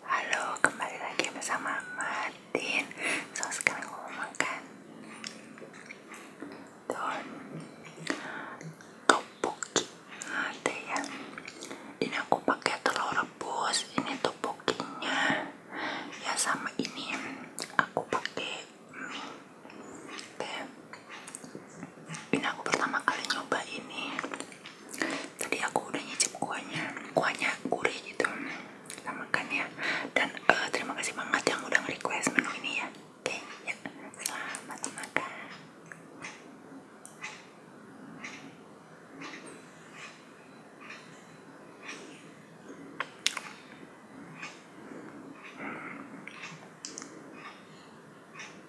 Halo, kembali lagi bersama Martin. So sekarang aku mau makan don topoki. Ada nah, ya. ini aku pakai telur rebus. Ini topokinya ya sama ini aku pakai mie. Ini aku pertama kali nyoba ini. Tadi aku udah nyicip kuahnya, kuahnya gurih gitu. Kita makan ya. Dan uh, terima kasih banget yang udah request menu ini ya. Oke, okay, ya. Selamat makan.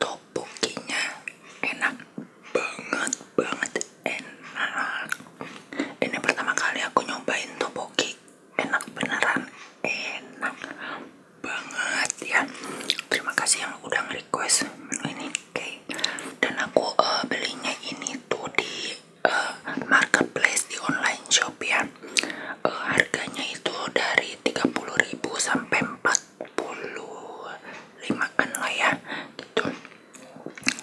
Topokinya enak banget banget enak. Ini pertama kali aku nyobain topoki. Enak beneran, enak banget ya terima kasih yang udah nge-request menu ini dan aku eh, belinya ini tuh di eh, marketplace di online shop ya eh, harganya itu dari 30.000 sampai 45an lah ya gitu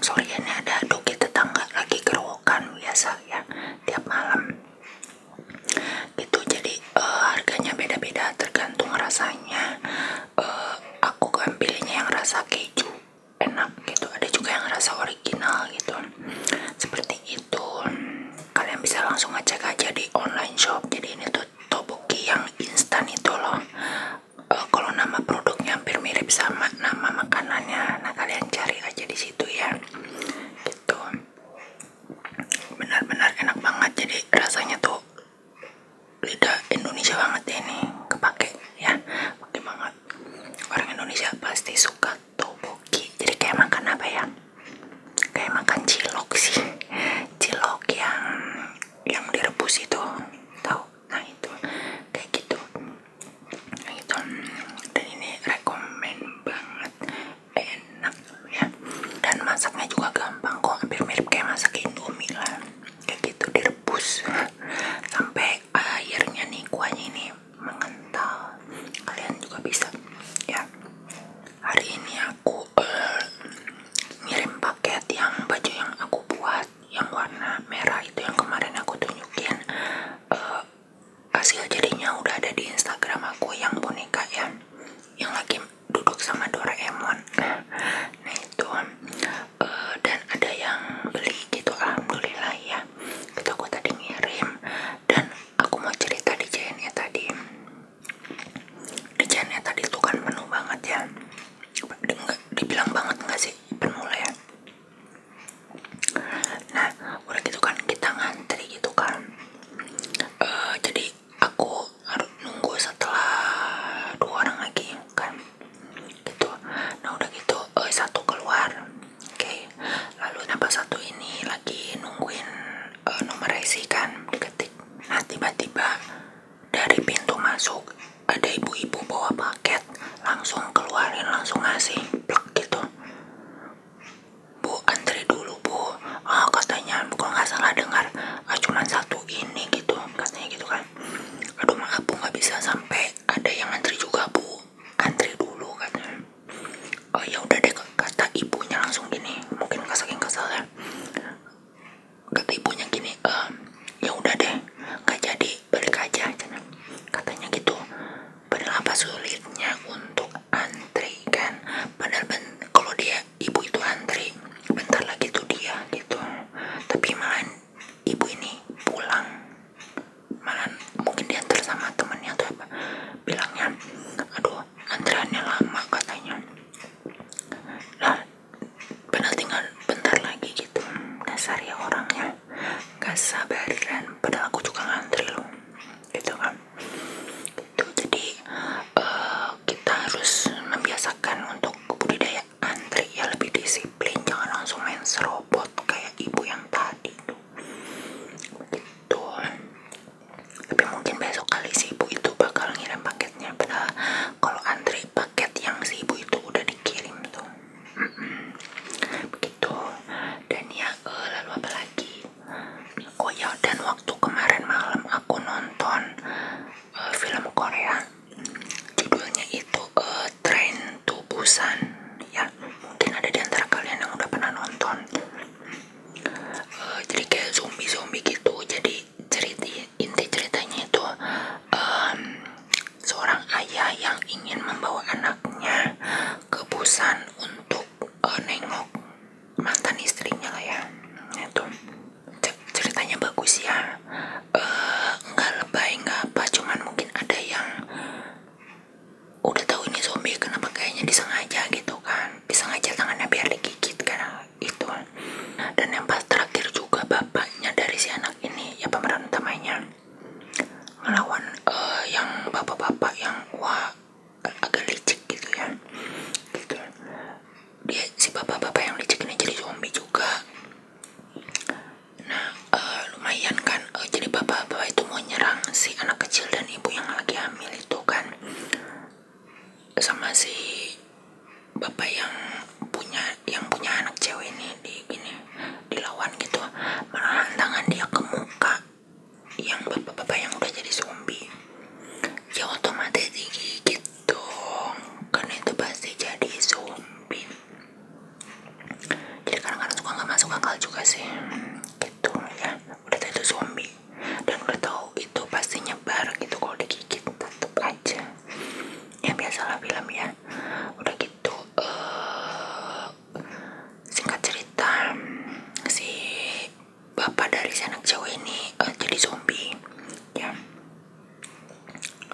sorry ini ada kita tangga lagi kerowokan biasa ya tiap malam itu jadi eh, harganya beda-beda tergantung rasanya. Eh, aku kan pilihnya yang rasa keju enak gitu. Ada juga yang rasa original gitu. Seperti itu. Kalian bisa langsung ngecek aja di online shop. Jadi ini tuh toboki yang instan itu loh. Eh, kalau nama produknya hampir mirip sama nama makanannya, nah kalian cari aja di situ ya. Gitu benar-benar enak banget jadi rasanya tuh lidah Indonesia banget ya ini kepake ya pakai banget orang Indonesia pasti suka topoki jadi kayak makan apa ya kayak makan cilok sih cilok yang yang direbus itu tahu nah itu kayak gitu nah, itu dan ini rekomend banget enak ya dan masaknya juga gampang kok hampir mirip kayak masak indomie kayak gitu direbus sampai airnya nih kuahnya nih mengental kalian juga bisa ya hari ini aku eh, ngirim paket yang baju yang aku buat yang warna merah itu yang kemarin aku tunjukin eh, hasil jadinya udah ada di Instagram aku yang boneka ya yang lagi duduk sama Doraemon nah itu eh, dan ada yang beli gitu alhamdulillah ya itu aku tadi ngirim dan aku mau cerita di JNE tadi di JNE tadi tuh kan penuh banget ya dibilang banget nggak sih penuh ya nah udah gitu kan kita ngantri gitu kan uh, jadi aku harus nunggu setelah dua orang lagi kan gitu nah udah gitu eh satu keluar oke lalu nambah satu ini lagi nungguin eh, nomor IC kan ketik nah tiba-tiba dari pintu masuk ada ibu-ibu bawa paket langsung keluarin langsung ngasih plek gitu Bu antri dulu bu oh, katanya kalau nggak salah dengar ah, satu ini gitu katanya gitu kan aduh maaf bu nggak bisa sampai ada yang antri juga bu antri dulu kan. oh ya udah deh kata ibunya langsung gini mungkin nggak saking kesel ya kata ibunya gini ehm, ya udah deh nggak jadi balik aja katanya gitu apa sulitnya untuk antri kan benar benar kalau dia ibu itu antri bentar lagi tuh dia gitu tapi malahan ibu ini pulang malahan mungkin diantar sama temennya tuh apa bilangnya aduh antriannya lama katanya lah benar tinggal bentar lagi gitu dasar ya orangnya gak sabaran padahal aku juga ngantri loh gitu kan itu jadi uh, kita harus membiasakan untuk budidaya antri ya lebih disiplin jangan langsung main serobot kayak ibu yang tadi tuh begitu tapi mungkin besok kali si ibu itu bakal ngirim paketnya padahal kalau antri paket yang si ibu itu udah dikirim tuh begitu dan ya uh, lalu apa lagi oh ya dan waktu kemarin malam aku nonton eh, film Korea judulnya itu uh, Train to Busan ya mungkin ada di antara kalian yang udah pernah nonton jadi kayak zombie zombie gitu jadi cerita inti ceritanya itu seorang ayah yang ingin membawa anaknya ke Busan untuk eh, nengok mantan istrinya lah ya nah, itu ceritanya bagus ya eh, nggak lebay nggak apa cuman mungkin ada yang udah tahu ini zombie kenapa kayaknya disengaja gitu kan disengaja tangannya biar dikikit karena itu dan yang pas terakhir juga bapaknya dari si anak ini ya pemeran utamanya melawan uh, yang bapak-bapak yang wah agak licik gitu ya gitu dia si bapak-bapak yang licik ini jadi zombie juga nah uh, lumayan kan uh, jadi bapak-bapak itu mau nyerang si anak kecil dan ibu yang lagi hamil itu kan sama si bapak yang punya yang punya anak cewek ini di gini dilawan gitu menahan tangan dia ke muka yang bapak-bapak yang udah jadi zombie ya otomatis digigit dong karena itu pasti jadi zombie jadi kadang-kadang suka nggak masuk akal juga sih gitu ya udah tahu itu zombie dan udah tahu itu pastinya bareng gitu kalau digigit tetep aja ya biasalah film ya udah gitu uh, singkat cerita si bapak dari si anak cewek ini uh, jadi zombie ya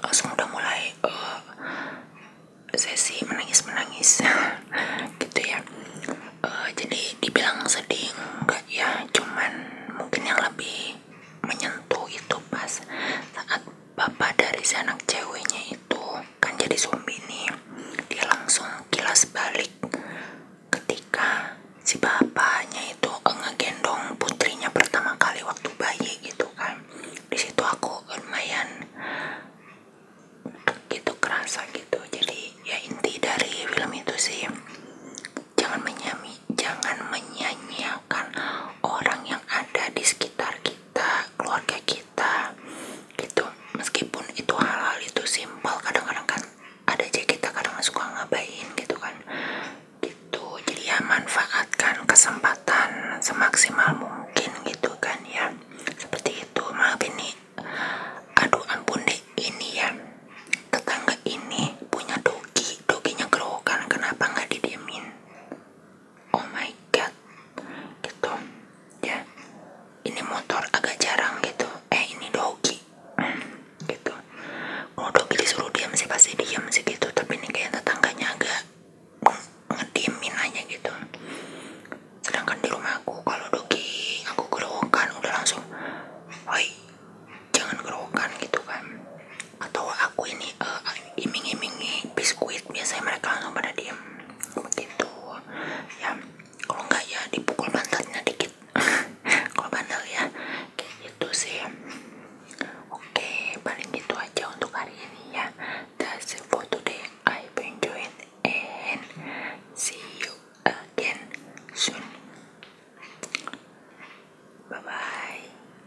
langsung udah mulai uh, sesi menangis menangis gitu ya uh, jadi dibilang sedih enggak ya cuman mungkin yang lebih menyentuh itu pas saat bapak dari si anak ceweknya itu kan jadi zombie nih dia langsung kilas balik ketika si bapaknya itu ngegendong putrinya pertama kali waktu bayi gitu kan di situ aku lumayan gitu kerasa gitu jadi ya inti dari film itu sih jangan menyami jangan menyanyiakan orang yang ada di sekitar kita kita keluarga kita gitu meskipun itu hal-hal itu simpel kadang-kadang kan ada aja kita kadang masuk suka ngabain gitu kan gitu jadi ya manfaatkan kesempatan semaksimal mungkin gitu kan ya seperti itu maafin nih aduh ampun deh ini ya tetangga ini punya Doki dogi doginya kan kenapa nggak didiemin oh my god gitu ya ini motor agak jarang gitu eh ini dogi gitu kalau Doki disuruh diam sih pasti diam sih gitu tapi ini kayak tetangganya agak ngediemin aja gitu sedangkan di rumahku kalau Doki, aku gerokan udah langsung oi jangan gerokan gitu kan atau aku ini uh, iming-imingi biskuit biasanya mereka langsung pada diem begitu ya kalau enggak ya dipukul pantatnya dikit kalau bandel ya kayak gitu sih oke paling gitu aja untuk hari ini ya that's it for today I hope enjoy it and see you again soon bye bye